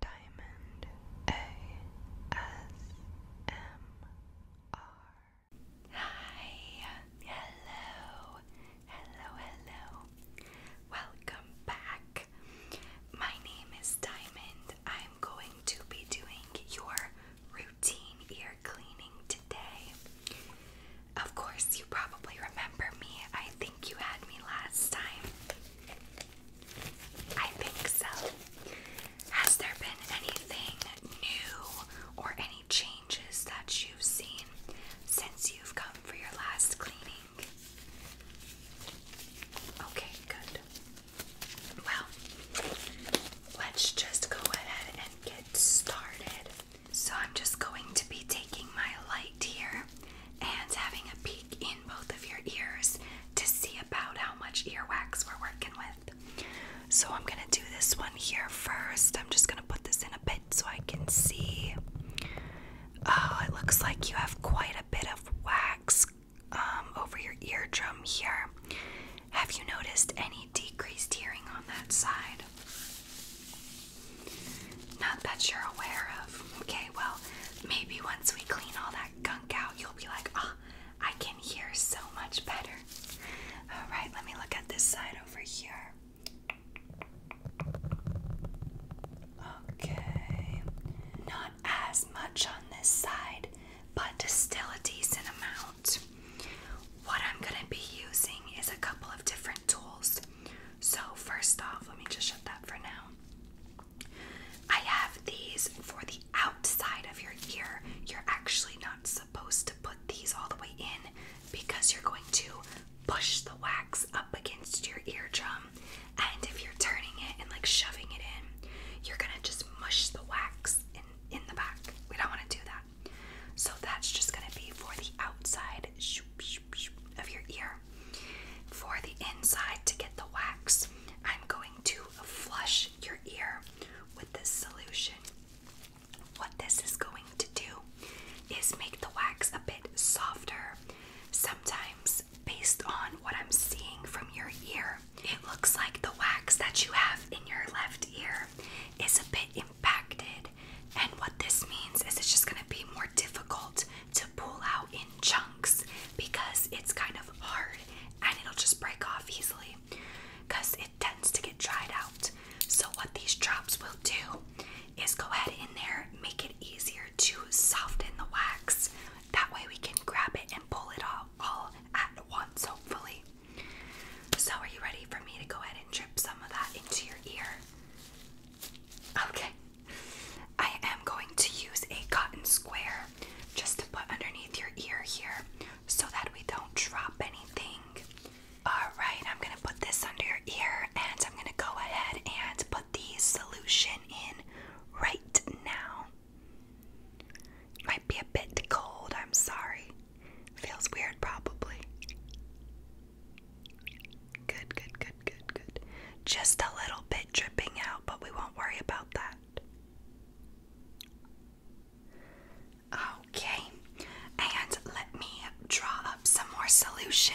Diamond ASMR. Hi, hello, hello, hello. Welcome back. My name is Diamond. I'm going to be doing your routine ear cleaning today. Of course, you probably remember me. I think you had me last time. I think so. Has there been anything new or any changes that you've seen since you've come for your last cleaning? Okay, good. Well, let's just go ahead and get started. So, I'm just going to be taking my light here and having a peek both of your ears to see about how much earwax we're working with. So I'm going to do this one here first. I'm just going to put this in a bit so I can see. Oh, it looks like you have quite a bit of wax um, over your eardrum here. Have you noticed any decreased hearing on that side? not that you're aware of. Okay, well, maybe once we clean all that gunk out, you'll be like, ah, I can hear so much better. All right, let me look at this side over here. Okay, not as much on this side, but still a decent amount. What I'm going to be using is a couple of different tools. So, first off, let me just shut that for now. I have these for the outside of your ear. You're actually not supposed to put these all the way in because you're going to push the wax up against your eardrum. And if you're turning it and like shoving it in, you're gonna just mush the wax in in the back. We don't want to do that. So that's just gonna be for the outside of your ear. For the inside to get the wax, I'm going to flush your ear with this solution. What this is going to do is make the wax a bit softer. Sometimes, based on what I'm seeing from your ear, it looks like the wax that you have in your left ear is a bit impacted. And what this means is it's just going to be more difficult to pull out in chunks because it's kind of hard and it'll just break off easily because it tends to get dried out. So, what these drops will do is go ahead in there, make it easier to soften the wax. That way, we can grab it and pull it off all at once, hopefully. So, are you ready for me to go ahead and drip some of that into your ear? Okay, I am going to use a cotton square just to put underneath your ear here so that we don't drop anything. Alright, I'm going to put this under your ear and I'm going to go ahead and put the solution in right now. Might be a bit cold, I'm sorry. Feels weird, probably. Good, good, good, good, good. Just a little bit dripping out, but we won't worry about that. Okay, and let me draw up some more solution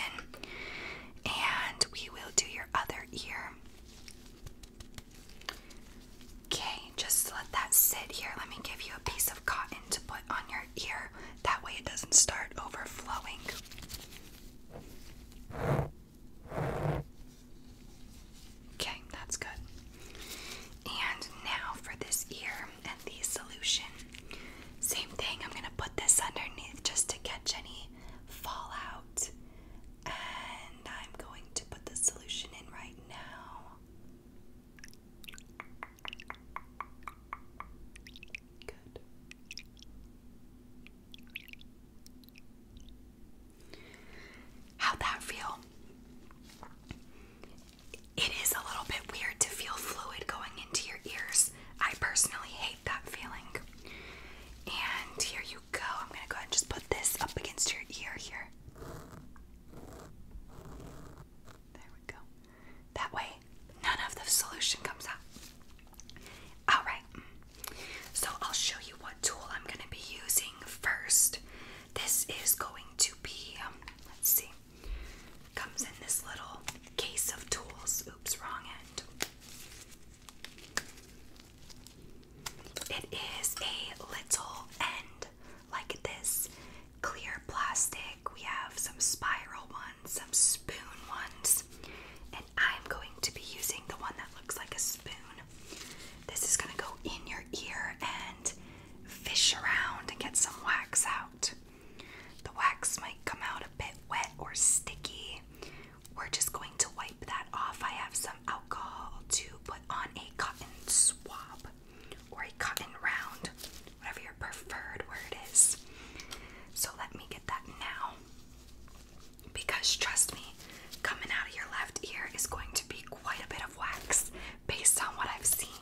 and we will do your other ear. Okay, just let that sit here. Let me give you a piece of cotton to put on your ear. That way it doesn't start overflowing. Okay, that's good. And now for this ear and the solution. Same thing, I'm gonna put this underneath just to catch any fallout. And I'm going to put the solution in right now how that feel? It is a little bit weird to feel fluid going into your ears. I personally hate that feeling. And here you go. I'm going to go ahead and just put this up against your ear here. There we go. That way, none of the solution comes out. Alright, so I'll show you what tool I'm going to be using first. This is going to be, um, let's see, comes in this little case of tools. Oops, wrong end. It is a little end like this clear plastic. We have some spiral ones, some spoon ones, and I'm going to be using the one that looks like a spoon. This is going to go in your ear and fish around and get some wax out. The wax might come out a bit wet or sticky. We're just going to wipe that off. I have some alcohol to put on a cotton swab or a cotton round whatever your preferred word is. So let me get that now. Because trust me, coming out of your left ear is going to be quite a bit of wax based on what I've seen.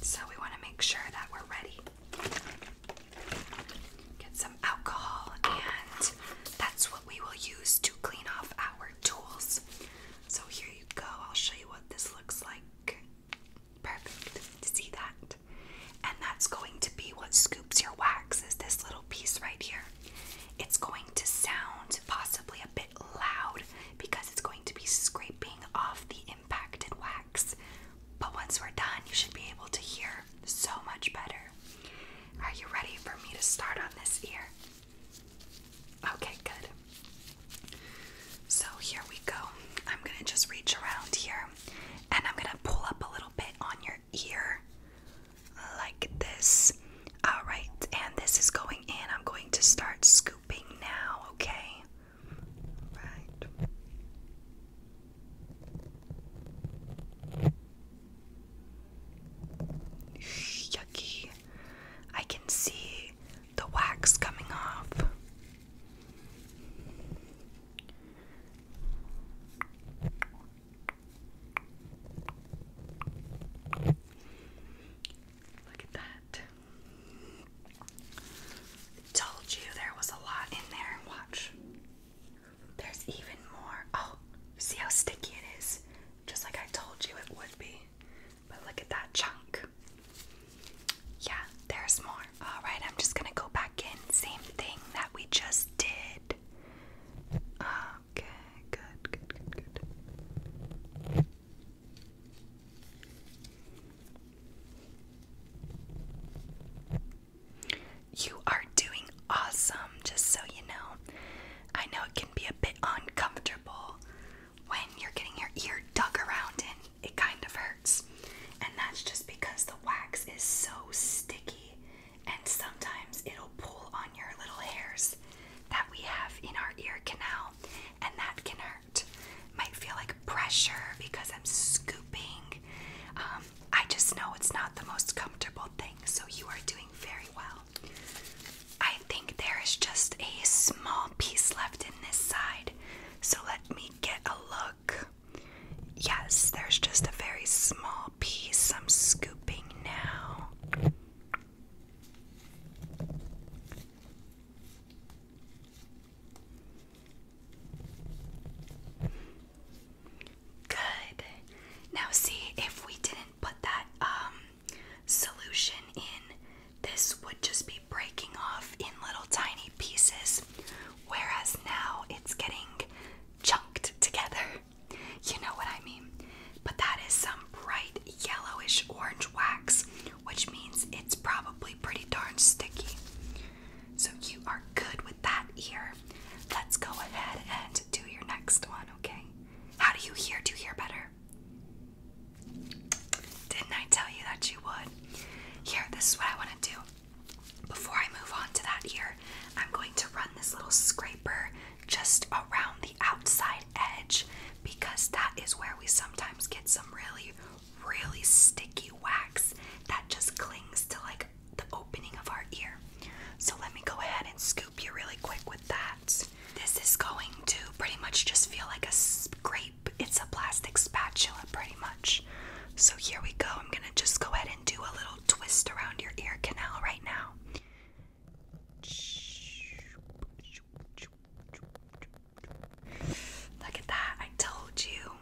So we want to make sure that we're ready. Get some alcohol, and that's what we will use to clean off our tools. So here you go. I'll show you what this looks like. Perfect see that. And that's going to be what scoops your wax is this little piece right here. It's going to sound possibly a bit loud because it's going to be scraping off the impacted wax. But once we're done, you should be able to hear so much better. Are you ready for me to start on this ear? Okay, good. So here we go. I'm going to just reach around here and I'm going to pull up a little bit on your ear like this. All right, and this is going in. I'm going to start scooping now, okay? All right. Yucky. I can see the wax coming off. Look at that. Told you there was a lot in there. Watch. There's even more. Oh, see how sticky it is? Just like I told you it would be. But look at that chunk. Yeah, there's more. All right, I'm just gonna go back in. Same thing that we just did. Okay, good, good, good, good. You are doing awesome, just so you know. I know it can be a bit uncomfortable when you're getting your ear dug around in it kind of hurts. And that's just because the wax is so sticky and sometimes it'll pull on your little hairs that we have in our ear canal and that can hurt. Might feel like pressure because I'm scooping. Um, I just know it's not the most comfortable thing, so you are doing very well. I think there is just a small piece left in this side, so let me get a look. Yes, there's just a very small piece. I'm scooping now. Good. Now, see if we didn't put that um, solution in. This would just be breaking off in little tiny pieces, whereas now it's getting chunked together. You know what I mean? But that is some bright yellowish orange wax, which means it's probably pretty darn sticky. So you are good with that ear. Let's go ahead and do your next one, okay? How do you hear? Do you hear better? Didn't I tell you that you would? Here, this is what I want to do. Before I move on to that ear, I'm going to run this little scraper just around the outside edge because that is where we sometimes get some really, really sticky wax that just clings to like the opening of our ear. So let me go ahead and scoop you really quick with that. This is going to pretty much just feel like a scrape. It's a plastic spatula, pretty much. So here we go. I'm gonna just go ahead and do a little twist around your ear canal right now. Look at that. I told you.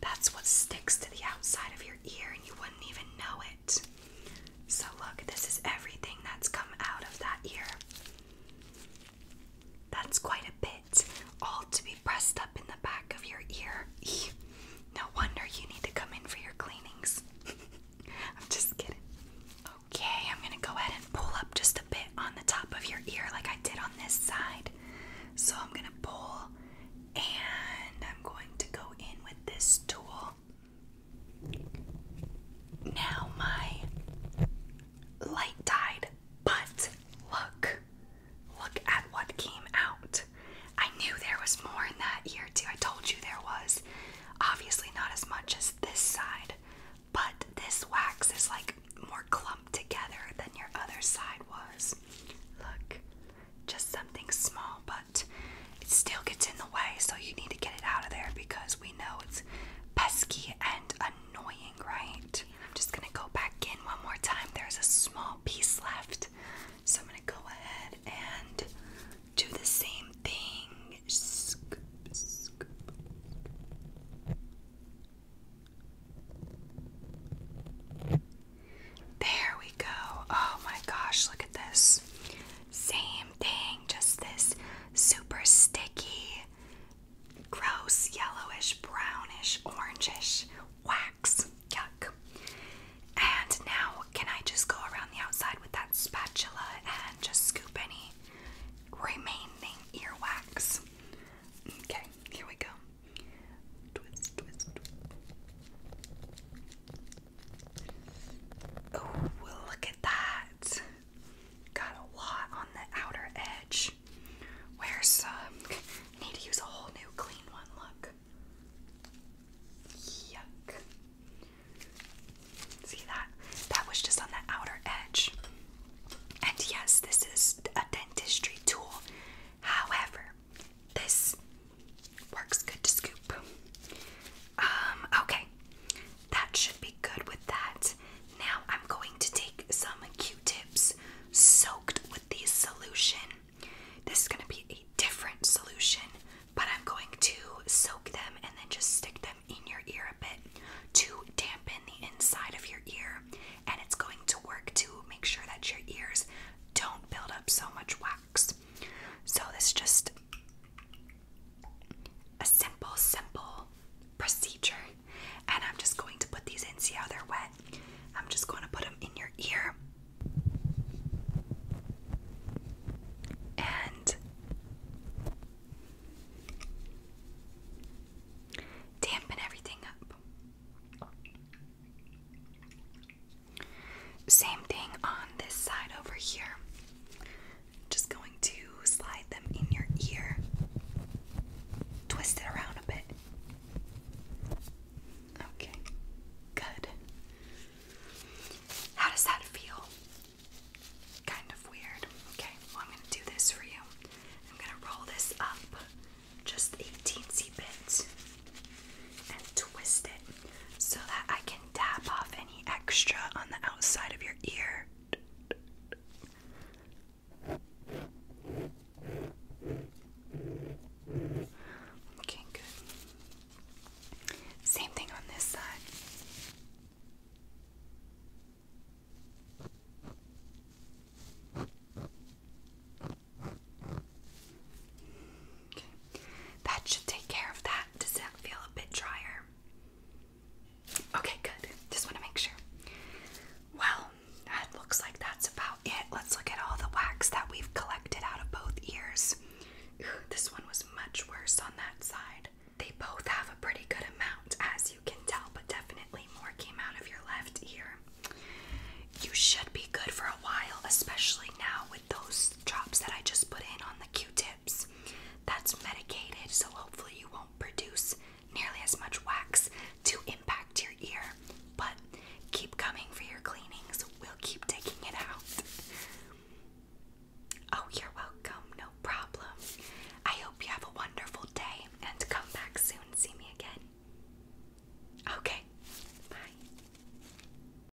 That's what sticks to the outside of your ear, and you wouldn't even know it. So, look, this is everything that's come out of that ear. That's quite a bit, all to be pressed up in the back of your ear. No wonder you need to come in for your cleanings. I'm just kidding. Okay, I'm gonna go ahead and pull up just a bit on the top of your ear, like I did on this side. So I'm gonna pull and I'm going to go in with this tool. Now my light died, but look, look at what came out. I knew there was more in that ear too. I told you there was. Obviously, not as much as this side, but this wax is like more clumped together than your other side was. Look, just something small, but it still gets in the way, so you need to get it out of there because we know it's pesky and annoying, right? I'm just gonna go back in one more time. There's a small piece left. So I'm gonna go ahead and do the same thing. There we go. Oh my gosh, look at this. Same thing, just this super sticky, gross, yellowish, brownish, orangish wax. Yuck. And now, can I just go around the outside with that spatula and just scoop any remaining earwax? Okay, here we go. Twist, twist. Oh, look at that. Got a lot on the outer edge. Where's some? Need to use a whole new clean one. Look. Yuck. See that? That was just on the outer edge. And yes, this is a dentistry tool. However, this works good to scoop. Um, okay. That should be good with that. Now I'm going to take some Q-tips soaked with this solution. This is going to be a different solution, but I'm going to soak them and then just stick them in your ear a bit to dampen the inside of your ear. And it's going to work to make sure that your ears don't build up so much wax wax. So this is just a simple, simple procedure. And I'm just going to put these in, see how they're wet. I'm just going to put them in your ear. And dampen everything up. Same thing on this side over here. Just going to slide them in your ear, twist it around a bit. Okay, good. How does that feel? Kind of weird. Okay, well, I'm going to do this for you. I'm going to roll this up just a teensy bit and twist it so that I can dab off any extra on the outside of your ear. Okay, good. Same thing on this side. Okay. That should take care of that. Does that feel a bit drier? Okay, good. Just want to make sure. Well, that looks like that's about it. Let's look at all the wax that we've collected out of both ears. This one was much worse on that side. They both have a pretty good amount, as you can tell, but definitely more came out of your left ear. You should be good for a while, especially now with those drops that I just put in on the tips That's medicated, so hopefully you won't produce nearly as much wax to impact your ear. But keep coming for your cleanings. We'll keep taking it out. Oh, you're welcome. No problem. I hope you have a wonderful day and come back soon see me again. Okay. Bye.